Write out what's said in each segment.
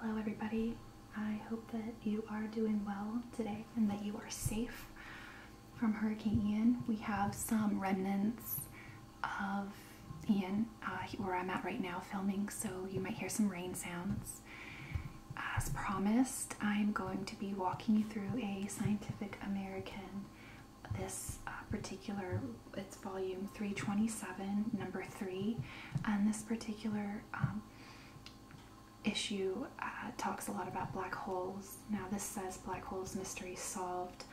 Hello, everybody. I hope that you are doing well today and that you are safe from Hurricane Ian. We have some remnants of Ian uh, where I'm at right now filming, so you might hear some rain sounds. As promised, I'm going to be walking you through a Scientific American. This uh, particular it's volume 327, number three. And this particular um, issue uh, talks a lot about black holes. Now, this says black holes mystery solved.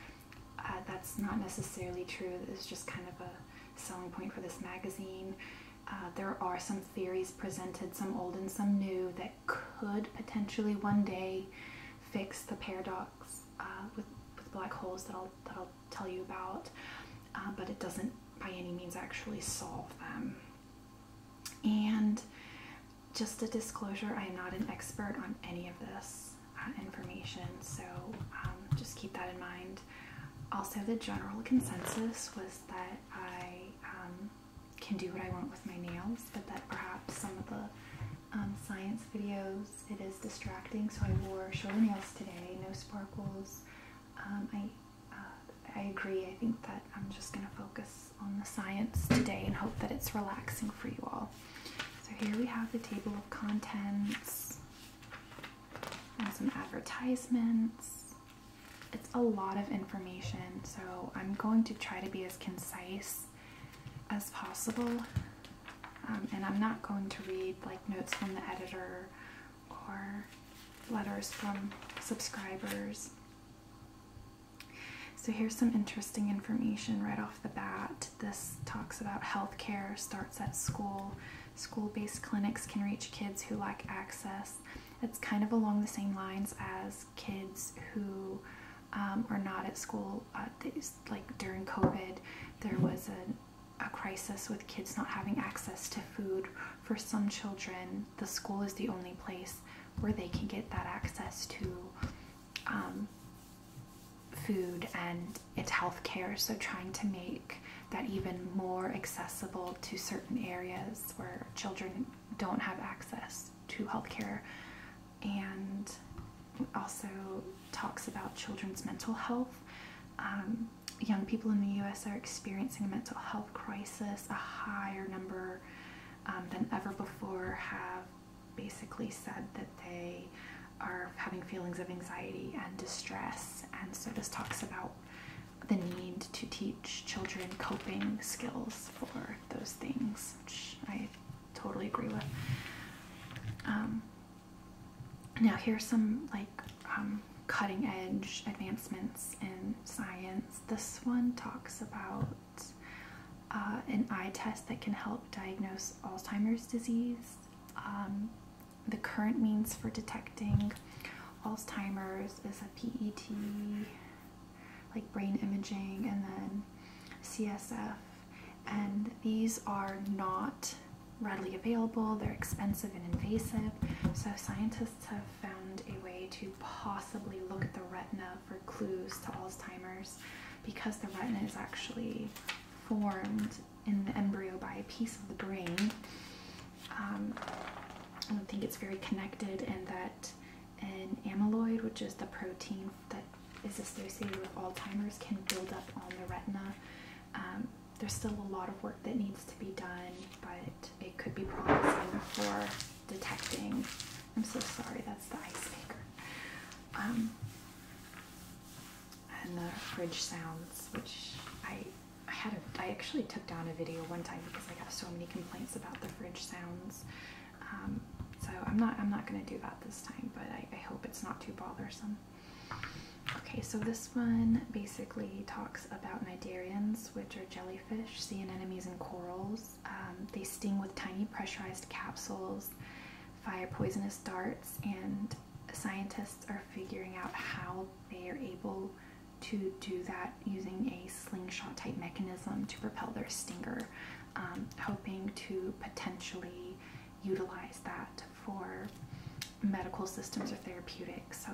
Uh, that's not necessarily true. It's just kind of a selling point for this magazine. Uh, there are some theories presented, some old and some new, that could potentially one day fix the paradox with, black holes that I'll tell you about, uh, but it doesn't by any means actually solve them. And just a disclosure I am not an expert on any of this uh, information, so um, just keep that in mind. Also, the general consensus was that I um, can do what I want with my nails, but that perhaps some of the um, science videos it is distracting, so I wore shorter nails today, no sparkles, um, I, uh, I agree. I think that I'm just going to focus on the science today and hope that it's relaxing for you all. So here we have the table of contents and some advertisements. It's a lot of information, so I'm going to try to be as concise as possible. Um, and I'm not going to read like notes from the editor or letters from subscribers. So here's some interesting information right off the bat. This talks about healthcare starts at school. School-based clinics can reach kids who lack access. It's kind of along the same lines as kids who um, are not at school. Uh, like during COVID, there was a a crisis with kids not having access to food. For some children, the school is the only place where they can get that access to um, food and it's healthcare. So, trying to make that even more accessible to certain areas where children don't have access to healthcare, and also talks about children's mental health. Um, young people in the US are experiencing a mental health crisis. A higher number um, than ever before have basically said that they are having feelings of anxiety and distress. And so this talks about the need to teach children coping skills for those things, which I totally agree with. Um, now here's some like um, cutting edge advancements in science. This one talks about uh, an eye test that can help diagnose Alzheimer's disease. Um, the current means for detecting Alzheimer's is a PET, like brain imaging, and then CSF. And these are not readily available, they're expensive and invasive. So, scientists have found a way to possibly look at the retina for clues to Alzheimer's because the retina is actually formed in the embryo by a piece of the brain. Um, I don't think it's very connected, and that an amyloid, which is the protein that is associated with Alzheimer's, can build up on the retina. Um, there's still a lot of work that needs to be done, but it could be promising for detecting. I'm so sorry, that's the ice maker. Um, and the fridge sounds, which I I had a, I actually took down a video one time because I got so many complaints about the fridge sounds. Um, so I'm not I'm not gonna do that this time, but I hope it's not too bothersome. Okay, so this one basically talks about cnidarians, which are jellyfish, sea anemones, and corals. Um, they sting with tiny pressurized capsules, fire poisonous darts, and scientists are figuring out how they are able to do that using a slingshot type mechanism to propel their stinger, um, hoping to potentially utilize that for medical systems or therapeutic, so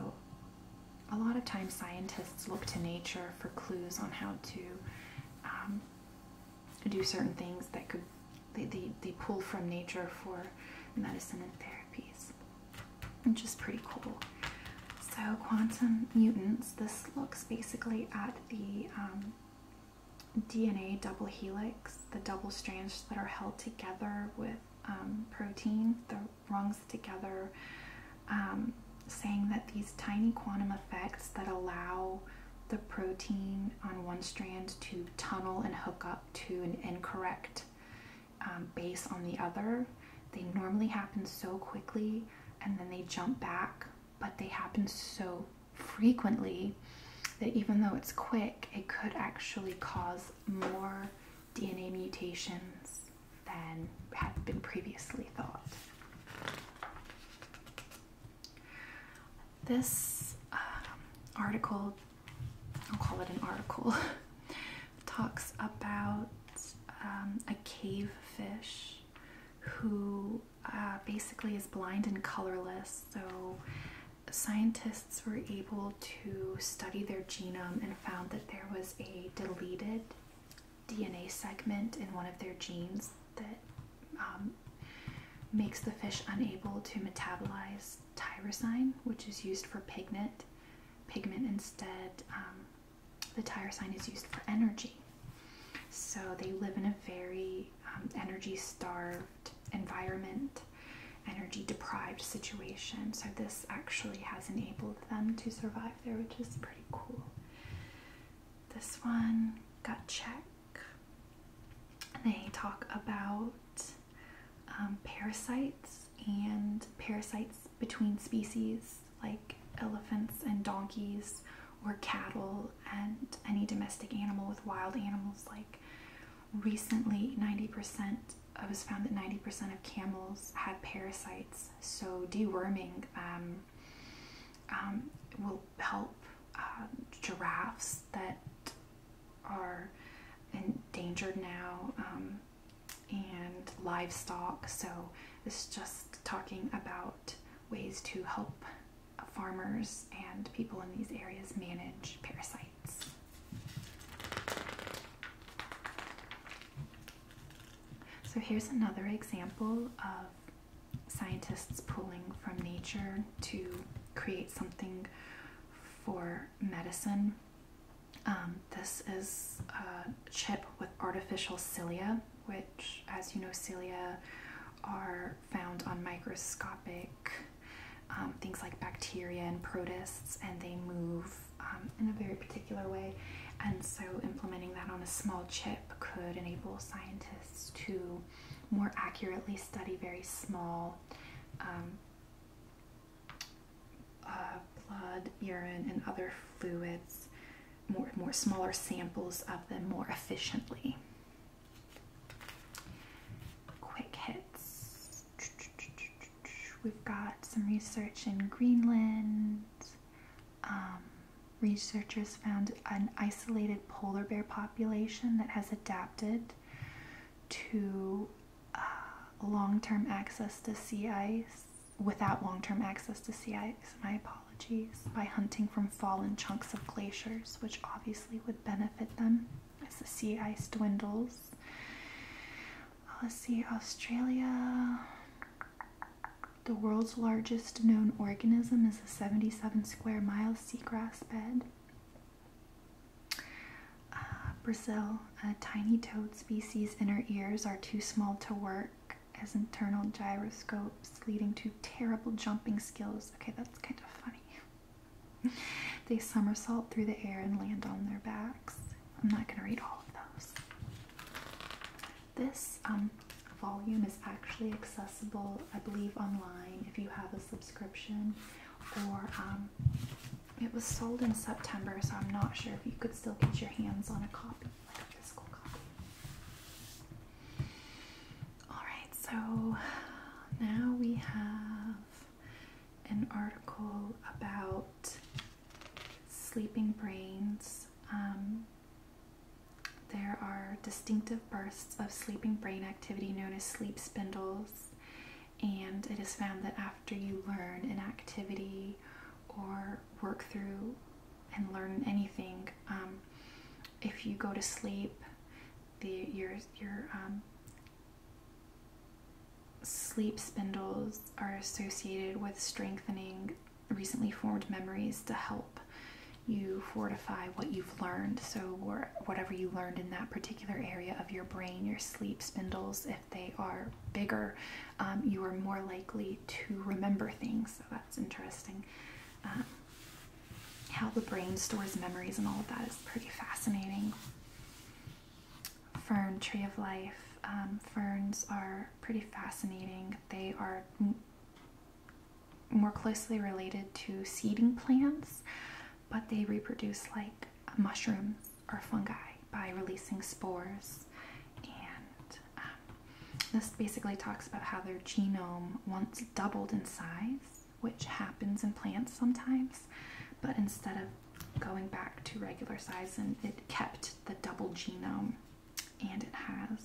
a lot of times scientists look to nature for clues on how to um, do certain things that could they, they, pull from nature for medicine and therapies, which is pretty cool. So quantum mutants, this looks basically at the um, DNA double helix, the double strands that are held together with um, protein, the rungs together, um, saying that these tiny quantum effects that allow the protein on one strand to tunnel and hook up to an incorrect um, base on the other, they normally happen so quickly and then they jump back, but they happen so frequently that even though it's quick, it could actually cause more DNA mutations than had been previously thought. This um, article, I'll call it an article, talks about um, a cave fish who uh, basically is blind and colorless, so scientists were able to study their genome and found that there was a deleted DNA segment in one of their genes that um, makes the fish unable to metabolize tyrosine, which is used for pigment. Pigment instead, um, the tyrosine is used for energy. So they live in a very um, energy starved environment, energy deprived situation. So, this actually has enabled them to survive there, which is pretty cool. This one, gut check. They talk about um, parasites and parasites between species, like elephants and donkeys, or cattle, and any domestic animal with wild animals like recently 90% it was found that 90% of camels had parasites so deworming um, um, will help um, giraffes that are endangered now and livestock so it's just talking about ways to help farmers and people in these areas manage parasites so here's another example of scientists pulling from nature to create something for medicine. Um, this is a chip with artificial cilia, which, as you know, cilia are found on microscopic um, things like bacteria and protists, and they move um, in a very particular way. And so, implementing that on a small chip could enable scientists to more accurately study very small um, uh, blood, urine, and other fluids, more, more smaller samples of them more efficiently. Quick hits. We've got some research in Greenland. Um, researchers found an isolated polar bear population that has adapted to uh, long term access to sea ice without long term access to sea ice. My apologies. By hunting from fallen chunks of glaciers, which obviously would benefit them as the sea ice dwindles. Let's see, Australia. The world's largest known organism is a 77 square mile seagrass bed. Uh, Brazil, a tiny toad species inner ears are too small to work as internal gyroscopes, leading to terrible jumping skills. Okay, that's kind of funny. They somersault through the air and land on their backs. I'm not going to read all of those. This um, volume is actually accessible, I believe, online if you have a subscription. Or um, it was sold in September, so I'm not sure if you could still get your hands on a copy, copy. Alright, so now we have an article about sleeping brains. Um, there are distinctive bursts of sleeping brain activity known as sleep spindles, and it is found that after you learn an activity or work through and learn anything, um, if you go to sleep, your your um, sleep spindles are associated with strengthening recently formed memories to help you fortify what you've learned. So, whatever you learned in that particular area of your brain, your sleep spindles, if they are bigger, um, you are more likely to remember things. So, that's interesting. Um, how the brain stores memories and all of that is pretty fascinating fern tree of life. Um, ferns are pretty fascinating. They are more closely related to seeding plants, but they reproduce like mushrooms or fungi by releasing spores. And um, this basically talks about how their genome once doubled in size which happens in plants sometimes, but instead of going back to regular size, and it kept the double genome, and it has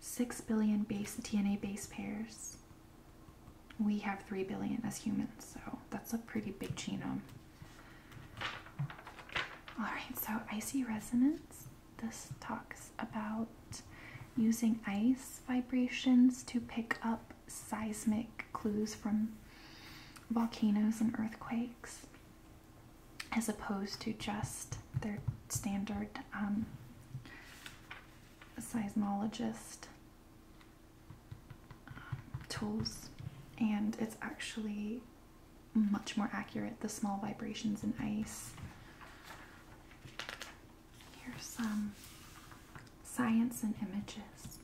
six billion base DNA base pairs. We have three billion as humans, so that's a pretty big genome. All right, so icy resonance. This talks about using ice vibrations to pick up seismic clues from volcanoes and earthquakes as opposed to just their standard um, seismologist um, tools and it's actually much more accurate the small vibrations in ice here's some science and images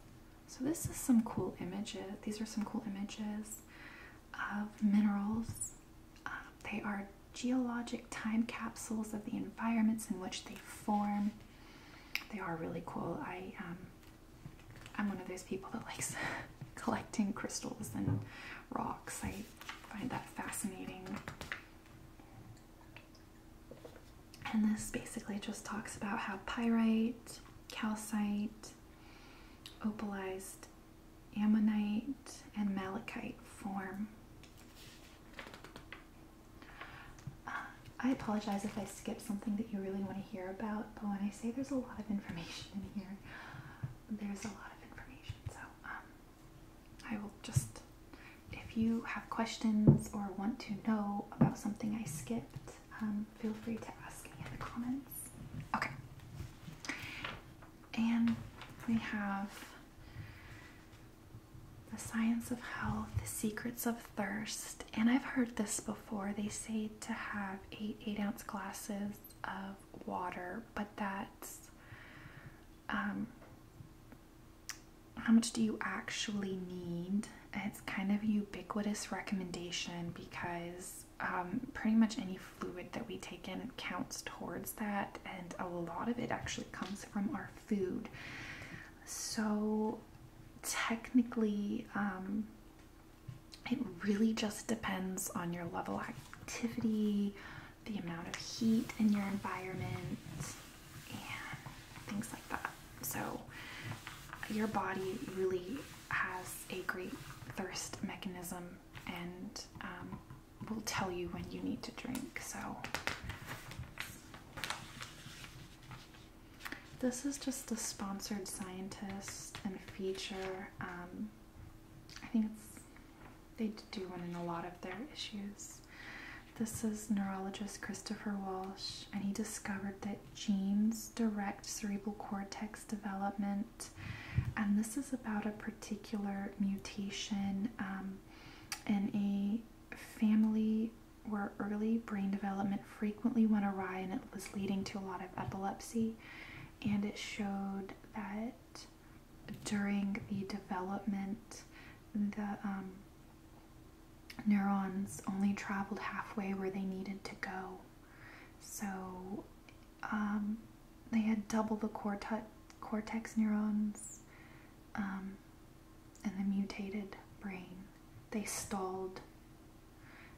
so this is some cool images. These are some cool images of minerals. Um, they are geologic time capsules of the environments in which they form. They are really cool. I um, I'm one of those people that likes collecting crystals and rocks. I find that fascinating. And this basically just talks about how pyrite, calcite, opalized ammonite, and malachite form. Uh, I apologize if I skip something that you really want to hear about, but when I say there's a lot of information in here, there's a lot of information. So um, I will just if you have questions or want to know about something I skipped, um, feel free to ask me in the comments. Okay. And we have The Science of Health, The Secrets of Thirst. And I've heard this before. They say to have eight eight ounce glasses of water, but that's um, how much do you actually need? It's kind of a ubiquitous recommendation because um, pretty much any fluid that we take in counts towards that, and a lot of it actually comes from our food. So, technically, um, it really just depends on your level of activity, the amount of heat in your environment, things like that. So, your body really has a great thirst mechanism and um, will tell you when you need to drink. So, this is just a sponsored scientist and feature. Um, I think it's, they do one in a lot of their issues. This is neurologist Christopher Walsh, and he discovered that genes direct cerebral cortex development. And this is about a particular mutation um, in a family where early brain development frequently went awry and it was leading to a lot of epilepsy. And it showed that during the development, the um, neurons only traveled halfway where they needed to go. So um, they had double the cortex neurons in um, the mutated brain. They stalled.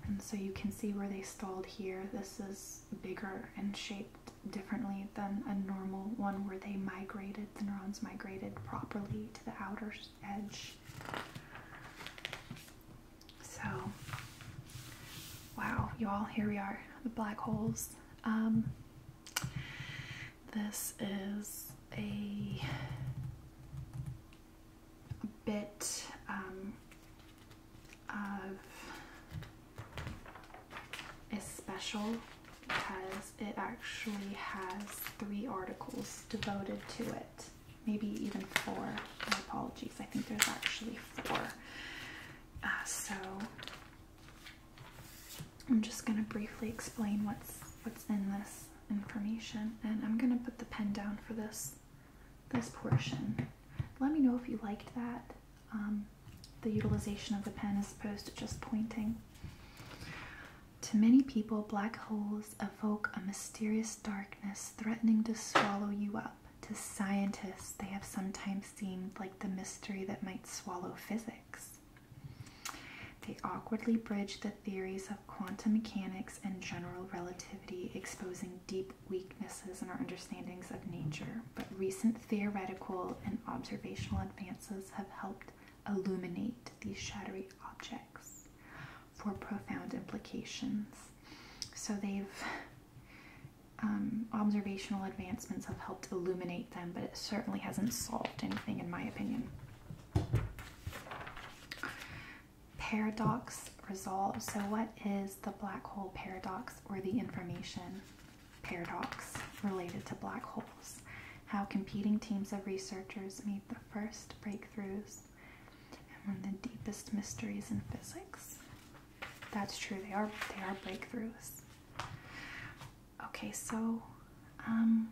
And so you can see where they stalled here. This is bigger and shaped differently than a normal one where they migrated, the neurons migrated properly to the outer edge. So, wow, y'all, here we are, the black holes. Um, this is a, bit um, of a special because it actually has three articles devoted to it. Maybe even four. apologies. I think there's actually four. Uh, so I'm just gonna briefly explain what's what's in this information, and I'm gonna put the pen down for this this portion. Let me know if you liked that. Um, the utilization of the pen as opposed to just pointing. To many people, black holes evoke a mysterious darkness threatening to swallow you up. To scientists, they have sometimes seemed like the mystery that might swallow physics. They awkwardly bridge the theories of quantum mechanics and general relativity, exposing deep weaknesses in our understandings of nature. But recent theoretical and observational advances have helped illuminate these shadowy objects for profound implications. So they've um, observational advancements have helped illuminate them, but it certainly hasn't solved anything, in my opinion. Paradox resolved. So, what is the black hole paradox or the information paradox related to black holes? how competing teams of researchers made the first breakthroughs and one of the deepest mysteries in physics. That's true, they are they are breakthroughs. Okay, so um,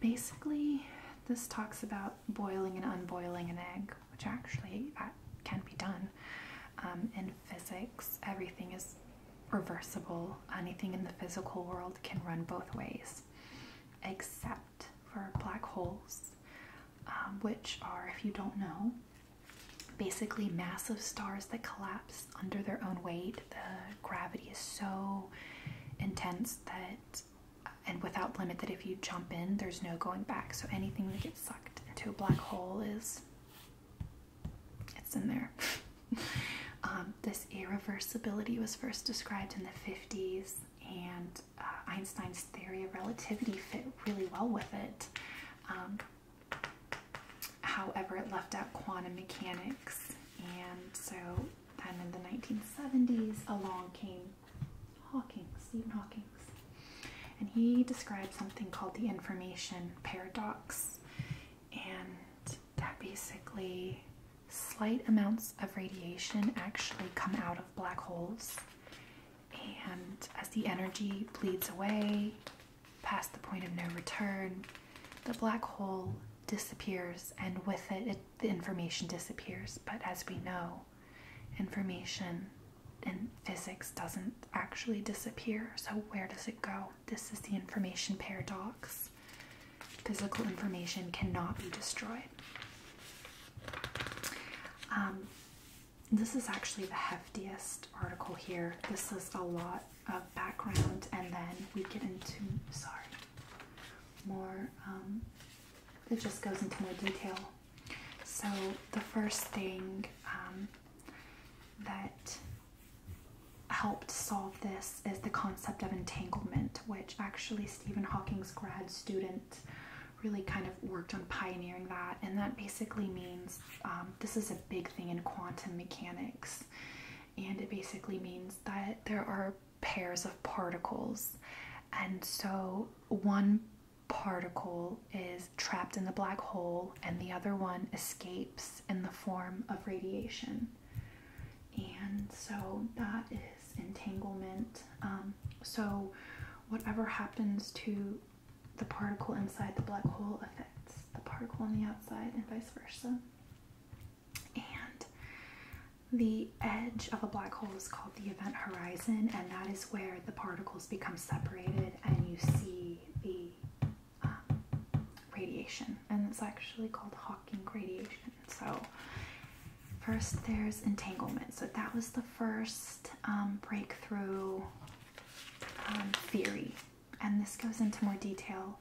basically this talks about boiling and unboiling an egg, which actually can be done. Um, in physics, everything is reversible. Anything in the physical world can run both ways except for black holes, um, which are, if you don't know, basically massive stars that collapse under their own weight. The gravity is so intense that, and without limit, that if you jump in, there's no going back. So anything that gets sucked into a black hole is, it's in there. Um, this irreversibility was first described in the 50s, and uh, Einstein's theory of relativity fit really well with it. Um, however, it left out quantum mechanics, and so then in the 1970s, along came Hawking, Stephen Hawking. And he described something called the information paradox, and that basically slight amounts of radiation actually come out of black holes, and as the energy bleeds away past the point of no return, the black hole disappears, and with it, the information disappears. But as we know, information in physics doesn't actually disappear, so where does it go? This is the information paradox. Physical information cannot be destroyed. Um, this is actually the heftiest article here. This is a lot of background, and then we get into sorry, more. Um, it just goes into more detail. So the first thing um, that helped solve this is the concept of entanglement, which actually Stephen Hawking's grad student really kind of worked on pioneering that. And that basically means um, this is a big thing in quantum mechanics. And it basically means that there are pairs of particles. And so one particle is trapped in the black hole and the other one escapes in the form of radiation. And so that is entanglement. Um, so whatever happens to the particle inside the black hole affects the particle on the outside and vice versa. And the edge of a black hole is called the event horizon, and that is where the particles become separated and you see the um, radiation. And it's actually called Hawking radiation. So, first there's entanglement. So, that was the first um, breakthrough um, theory. And this goes into more detail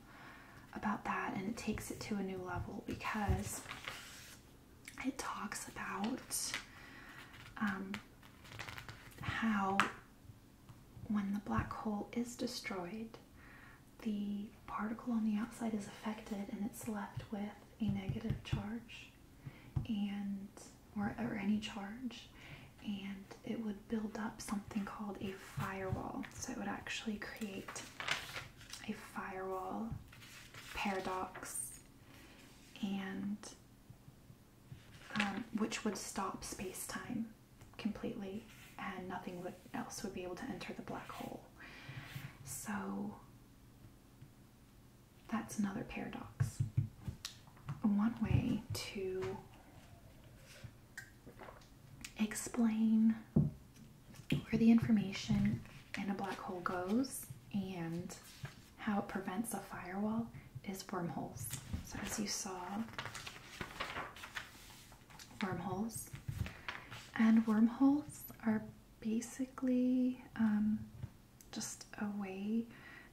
about that and it takes it to a new level because it talks about um, how when the black hole is destroyed, the particle on the outside is affected and it's left with a negative charge and or, any charge and it would build up something called a firewall so it would actually create a firewall paradox and um, which would stop space-time completely and nothing else would be able to enter the black hole so that's another paradox. One way to explain where the information in a black hole goes and how it prevents a firewall is wormholes. So, as you saw wormholes. And wormholes are basically um, just a way,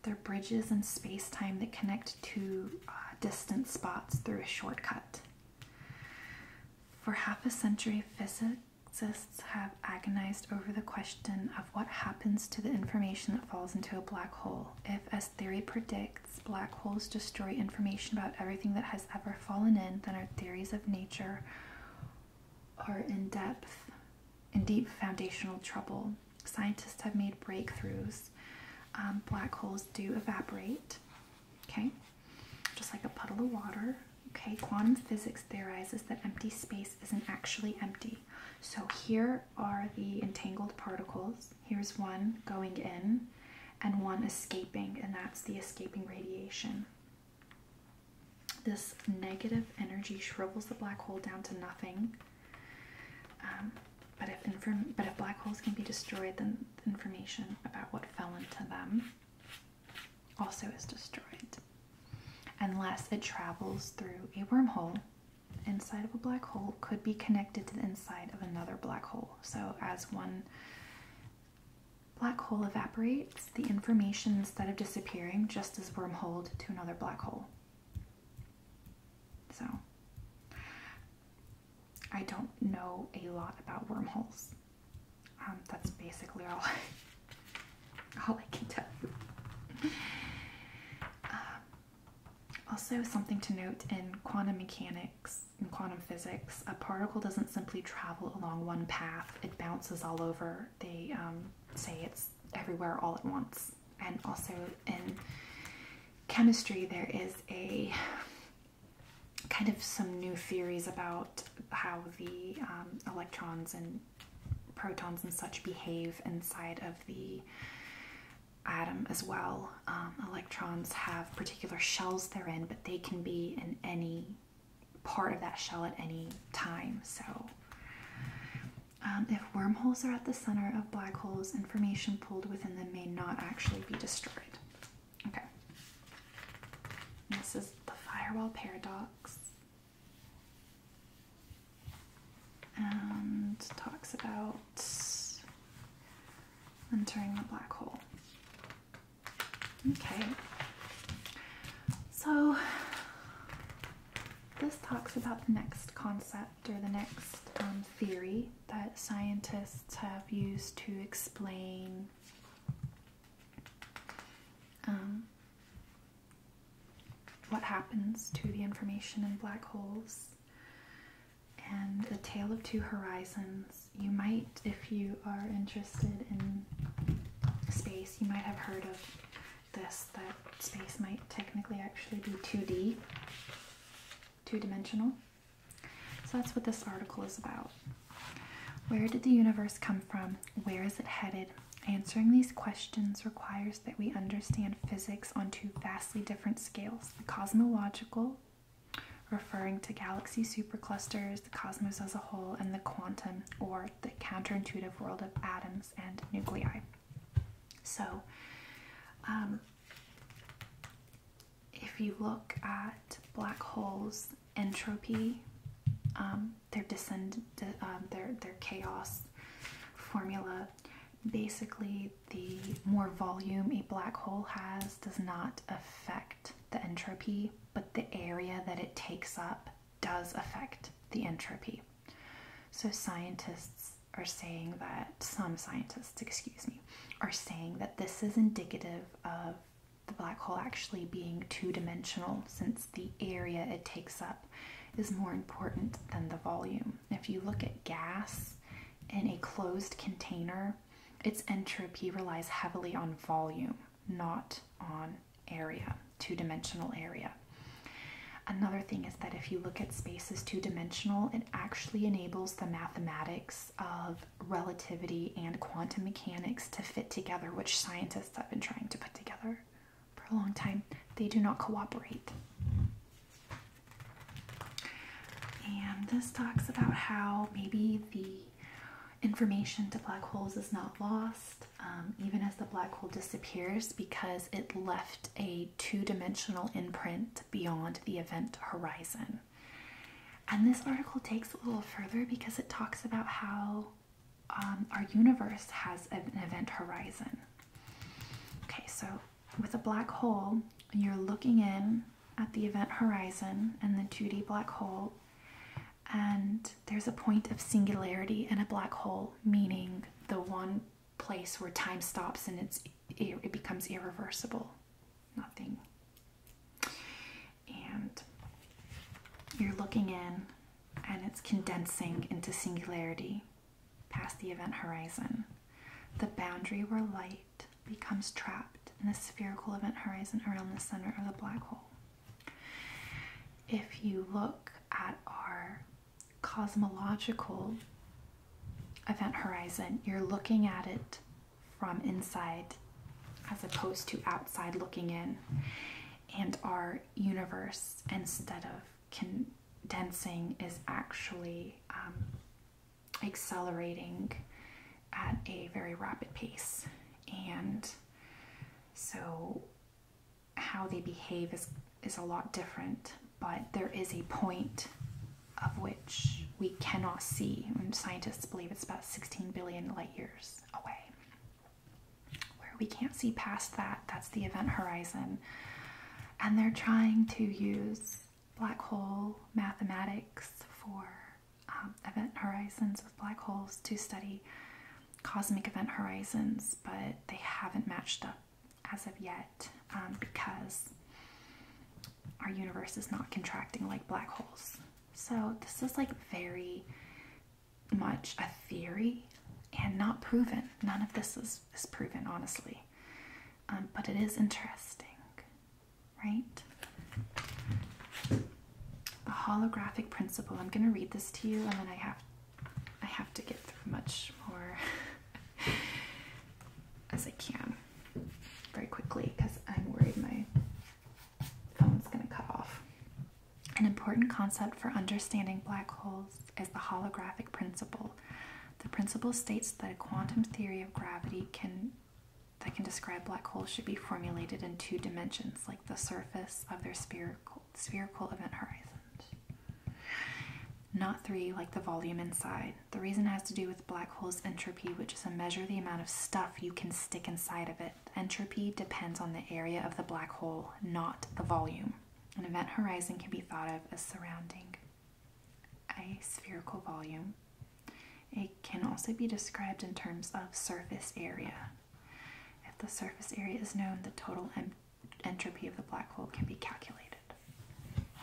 they're bridges in space time that connect two uh, distant spots through a shortcut. For half a century, physicists have agonized over the question of what happens to the information that falls into a black hole. If, as theory predicts, black holes destroy information about everything that has ever fallen in, then our theories of nature are in depth, in deep foundational trouble. Scientists have made breakthroughs. Um, black holes do evaporate, okay? Just like a puddle of water, okay? Quantum physics theorizes that empty space isn't actually empty. So here are the entangled particles. Here's one going in, and one escaping, and that's the escaping radiation. This negative energy shrivels the black hole down to nothing. Um, but if inform- but if black holes can be destroyed, then information about what fell into them also is destroyed, unless it travels through a wormhole. Inside of a black hole could be connected to the inside of another black hole. So as one Black hole evaporates, the information instead of disappearing just as wormhole to another black hole. So, I don't know a lot about wormholes. Um, that's basically all, all I can tell you. Um, also, something to note in quantum mechanics. In quantum physics, a particle doesn't simply travel along one path, it bounces all over. They um, say it's everywhere all at once. And also in chemistry, there is a kind of some new theories about how the um, electrons and protons and such behave inside of the atom as well. Um, electrons have particular shells therein. but they can be in any part of that shell at any time. So, um, if wormholes are at the center of black holes, information pulled within them may not actually be destroyed. Okay. This is the firewall paradox. And talks about entering the black hole. Okay. So this talks about the next concept or the next um, theory that scientists have used to explain um, what happens to the information in black holes and the tale of two horizons you might, if you are interested in space, you might have heard of this that space might technically actually be 2D, two dimensional. So that's what this article is about. Where did the universe come from? Where is it headed? Answering these questions requires that we understand physics on two vastly different scales the cosmological referring to galaxy superclusters, the cosmos as a whole, and the quantum or the counterintuitive world of atoms and nuclei. So, um, if you look at black holes, entropy, um, their descend, um, their their chaos formula. Basically, the more volume a black hole has does not affect the entropy, but the area that it takes up does affect the entropy. So scientists are saying that, some scientists, excuse me, are saying that this is indicative of the black hole actually being two dimensional since the area it takes up is more important than the volume. If you look at gas in a closed container, its entropy relies heavily on volume, not on area, two dimensional area. Another thing is that if you look at spaces two dimensional, it actually enables the mathematics of relativity and quantum mechanics to fit together, which scientists have been trying to put together for a long time. They do not cooperate. And this talks about how maybe the information to black holes is not lost um, even as the black hole disappears because it left a two dimensional imprint beyond the event horizon. And this article takes a little further because it talks about how um, our universe has an event horizon. Okay, so with a black hole, you're looking in at the event horizon and the 2D black hole. And there's a point of singularity in a black hole, meaning the one place where time stops and it's it becomes irreversible. Nothing. And you're looking in and it's condensing into singularity past the event horizon, the boundary where light becomes trapped in the spherical event horizon around the center of the black hole. If you look at our cosmological event horizon, you're looking at it from inside as opposed to outside looking in, and our universe, instead of condensing, is actually um, accelerating at a very rapid pace. And so how they behave is, is a lot different, but there is a point of which we cannot see. And scientists believe it's about 16 billion light years away. Where we can't see past that, that's the event horizon. And they're trying to use black hole mathematics for um, event horizons with black holes to study cosmic event horizons, but they haven't matched up as of yet um, because our universe is not contracting like black holes. So, this is like very much a theory and not proven. None of this is, is proven, honestly. Um, but it is interesting right? The holographic principle. I'm going to read this to you and then I have I have to get through much more as I can very quickly because I'm worried my phone's going to cut off. An important concept for understanding black holes is the holographic principle. The principle states that a quantum theory of gravity can that can describe black holes should be formulated in two dimensions, like the surface of their spherical, event horizon, Not three, like the volume inside. The reason has to do with black holes' entropy, which is a measure of the amount of stuff you can stick inside of it. Entropy depends on the area of the black hole, not the volume. An event horizon can be thought of as surrounding a spherical volume it can also be described in terms of surface area. If the surface area is known, the total entropy of the black hole can be calculated.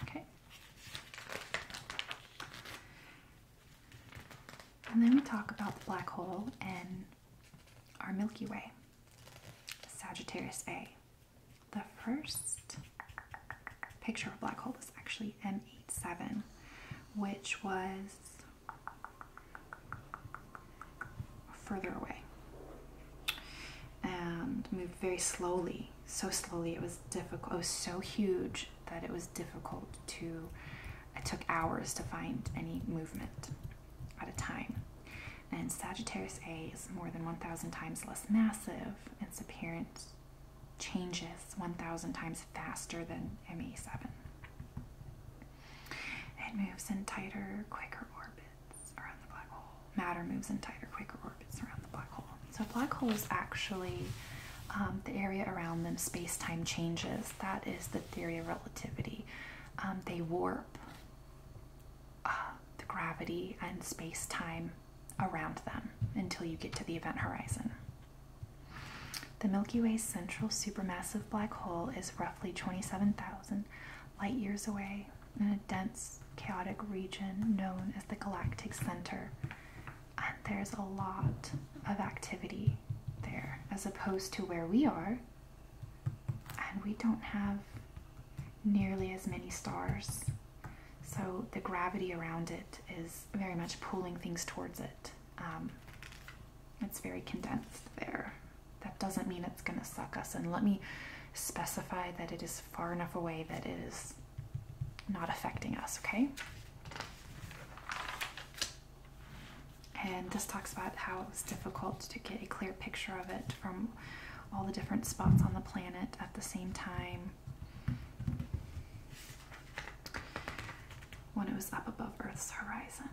Okay. And then we talk about the black hole in our Milky Way, Sagittarius A. The first picture of a black hole is actually M seven, which was further away and moved very slowly. So slowly, it was difficult. It was so huge that it was difficult to. I took hours to find any movement at a time. And Sagittarius A is more than 1,000 times less massive, its appearance changes 1,000 times faster than MA7. It moves in tighter, quicker orbits around the black hole. Matter moves in tighter, quicker orbits around the black hole. So, black holes actually, um, the area around them, space time changes. That is the theory of relativity. Um, they warp uh, the gravity and space time around them until you get to the event horizon. The Milky Way's central supermassive black hole is roughly 27,000 light years away in a dense, chaotic region known as the galactic center. And there's a lot of activity there as opposed to where we are. And we don't have nearly as many stars. So the gravity around it is very much pulling things towards it. Um, it's very condensed there. That doesn't mean it's going to suck us in. Let me specify that it is far enough away that it is not affecting us, okay? And this talks about how it was difficult to get a clear picture of it from all the different spots on the planet at the same time when it was up above Earth's horizon.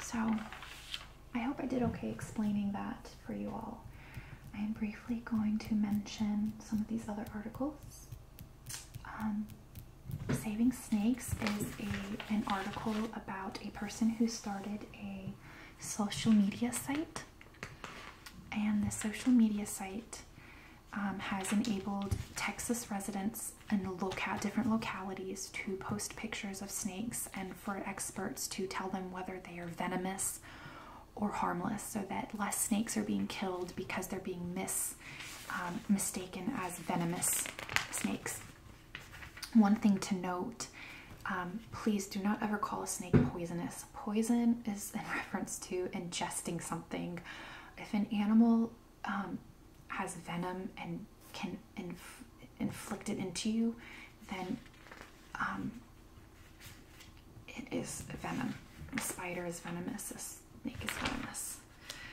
So, I hope I did okay explaining that for you all. I am briefly going to mention some of these other articles. Um, Saving Snakes is an article about a person who started a social media site. And the social media site um, has enabled Texas residents and at different localities to post pictures of snakes and for experts to tell them whether they are venomous or harmless so that less snakes are being killed because they're being mis, um, mistaken as venomous snakes. One thing to note, um, please do not ever call a snake poisonous. Poison is in reference to ingesting something if an animal um, has venom and can inflict it into you, then um, it is venom. The spider is venomous, the snake is venomous.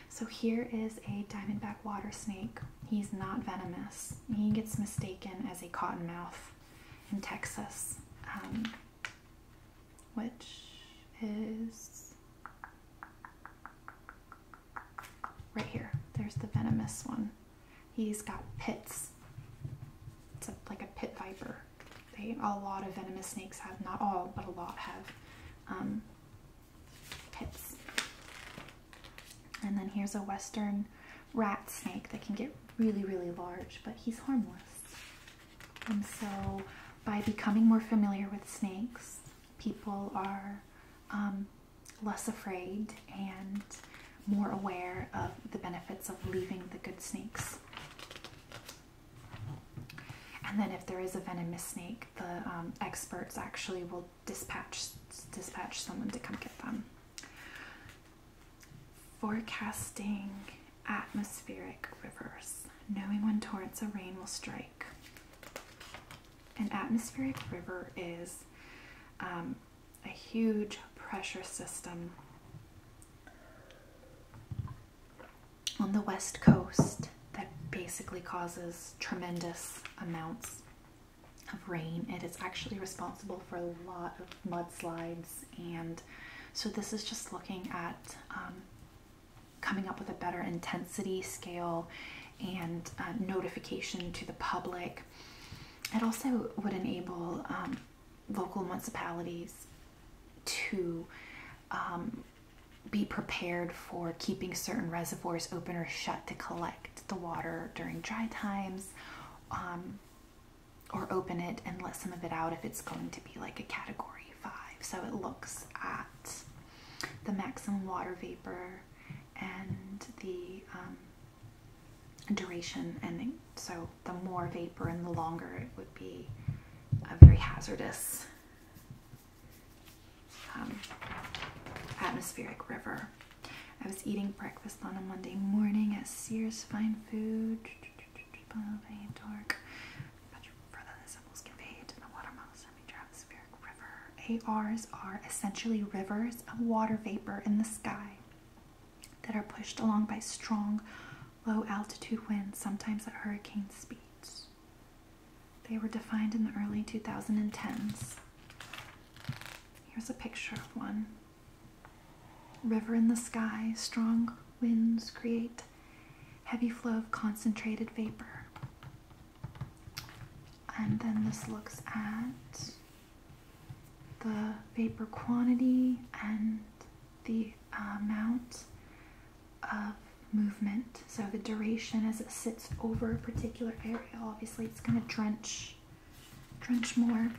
So here is a diamondback water snake. He's not venomous. He gets mistaken as a cottonmouth in Texas. Um, which is right here. There's the venomous one. He's got pits. It's like a pit viper. a lot of venomous snakes have, not all, but a lot have um, pits. And then here's a western rat snake that can get really, really large, but he's harmless. And so, by becoming more familiar with snakes, people are um, less afraid and more aware of the benefits of leaving the good snakes. And then, if there is a venomous snake, the um, experts actually will dispatch dispatch someone to come get them. Forecasting atmospheric rivers, knowing when torrents of rain will strike. An atmospheric river is um, a huge pressure system on the west coast that basically causes tremendous amounts of rain. It is actually responsible for a lot of mudslides and so this is just looking at um, coming up with a better intensity scale and uh, notification to the public. It also would enable um, local municipalities to um, be prepared for keeping certain reservoirs open or shut to collect the water during dry times um, or open it and let some of it out if it's going to be like a category so it looks at the maximum water vapor and the um, duration and so the more vapor and the longer it would be a very hazardous um, atmospheric river. I was eating breakfast on a Monday morning at Sears Fine Food ARs are essentially rivers of water vapor in the sky that are pushed along by strong low altitude winds, sometimes at hurricane speeds. They were defined in the early 2010s. Here's a picture of one. River in the sky, strong winds create heavy flow of concentrated vapor. And then this looks at the vapor quantity and the uh, amount of movement. So the duration as it sits over a particular area, obviously it's going to drench, drench more.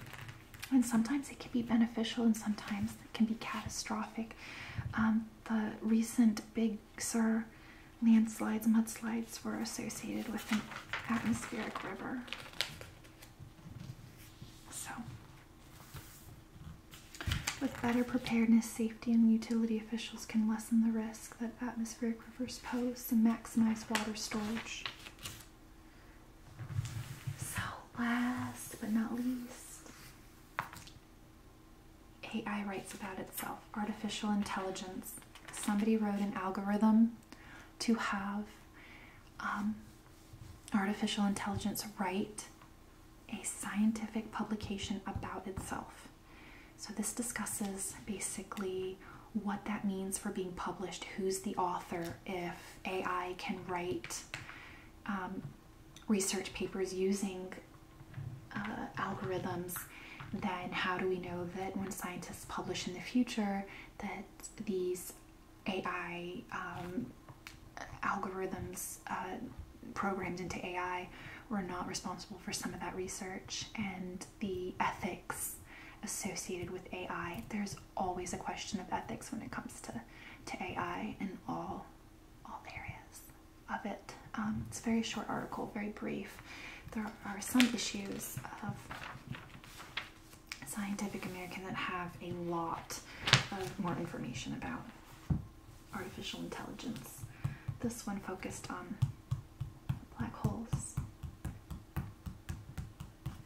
And sometimes it can be beneficial and sometimes it can be catastrophic. Um, the recent Big Sur landslides, mudslides were associated with an atmospheric river. So, with better preparedness, safety, and utility officials can lessen the risk that atmospheric rivers pose and maximize water storage. So, last but not least, AI writes about itself, artificial intelligence. Somebody wrote an algorithm to have um, artificial intelligence write a scientific publication about itself. So, this discusses basically what that means for being published, who's the author, if AI can write um, research papers using uh, algorithms, then how do we know that when scientists publish in the future that these AI um, algorithms uh, programmed into AI were not responsible for some of that research and the ethics associated with AI. There's always a question of ethics when it comes to, to AI and all all areas of it. Um, it's a very short article, very brief. There are some issues of Scientific American that have a lot of more information about artificial intelligence. This one focused on black holes.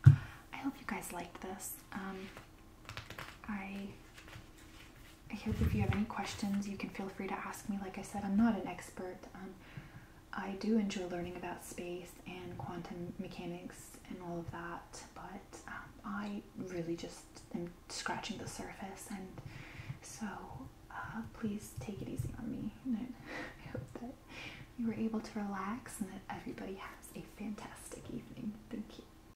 I hope you guys liked this. Um, I I hope if you have any questions, you can feel free to ask me. Like I said, I'm not an expert. Um, I do enjoy learning about space and quantum mechanics and all of that, but um, I really just am scratching the surface, and so uh, please take it easy on me. I hope that you were able to relax and that everybody has a fantastic evening. Thank you.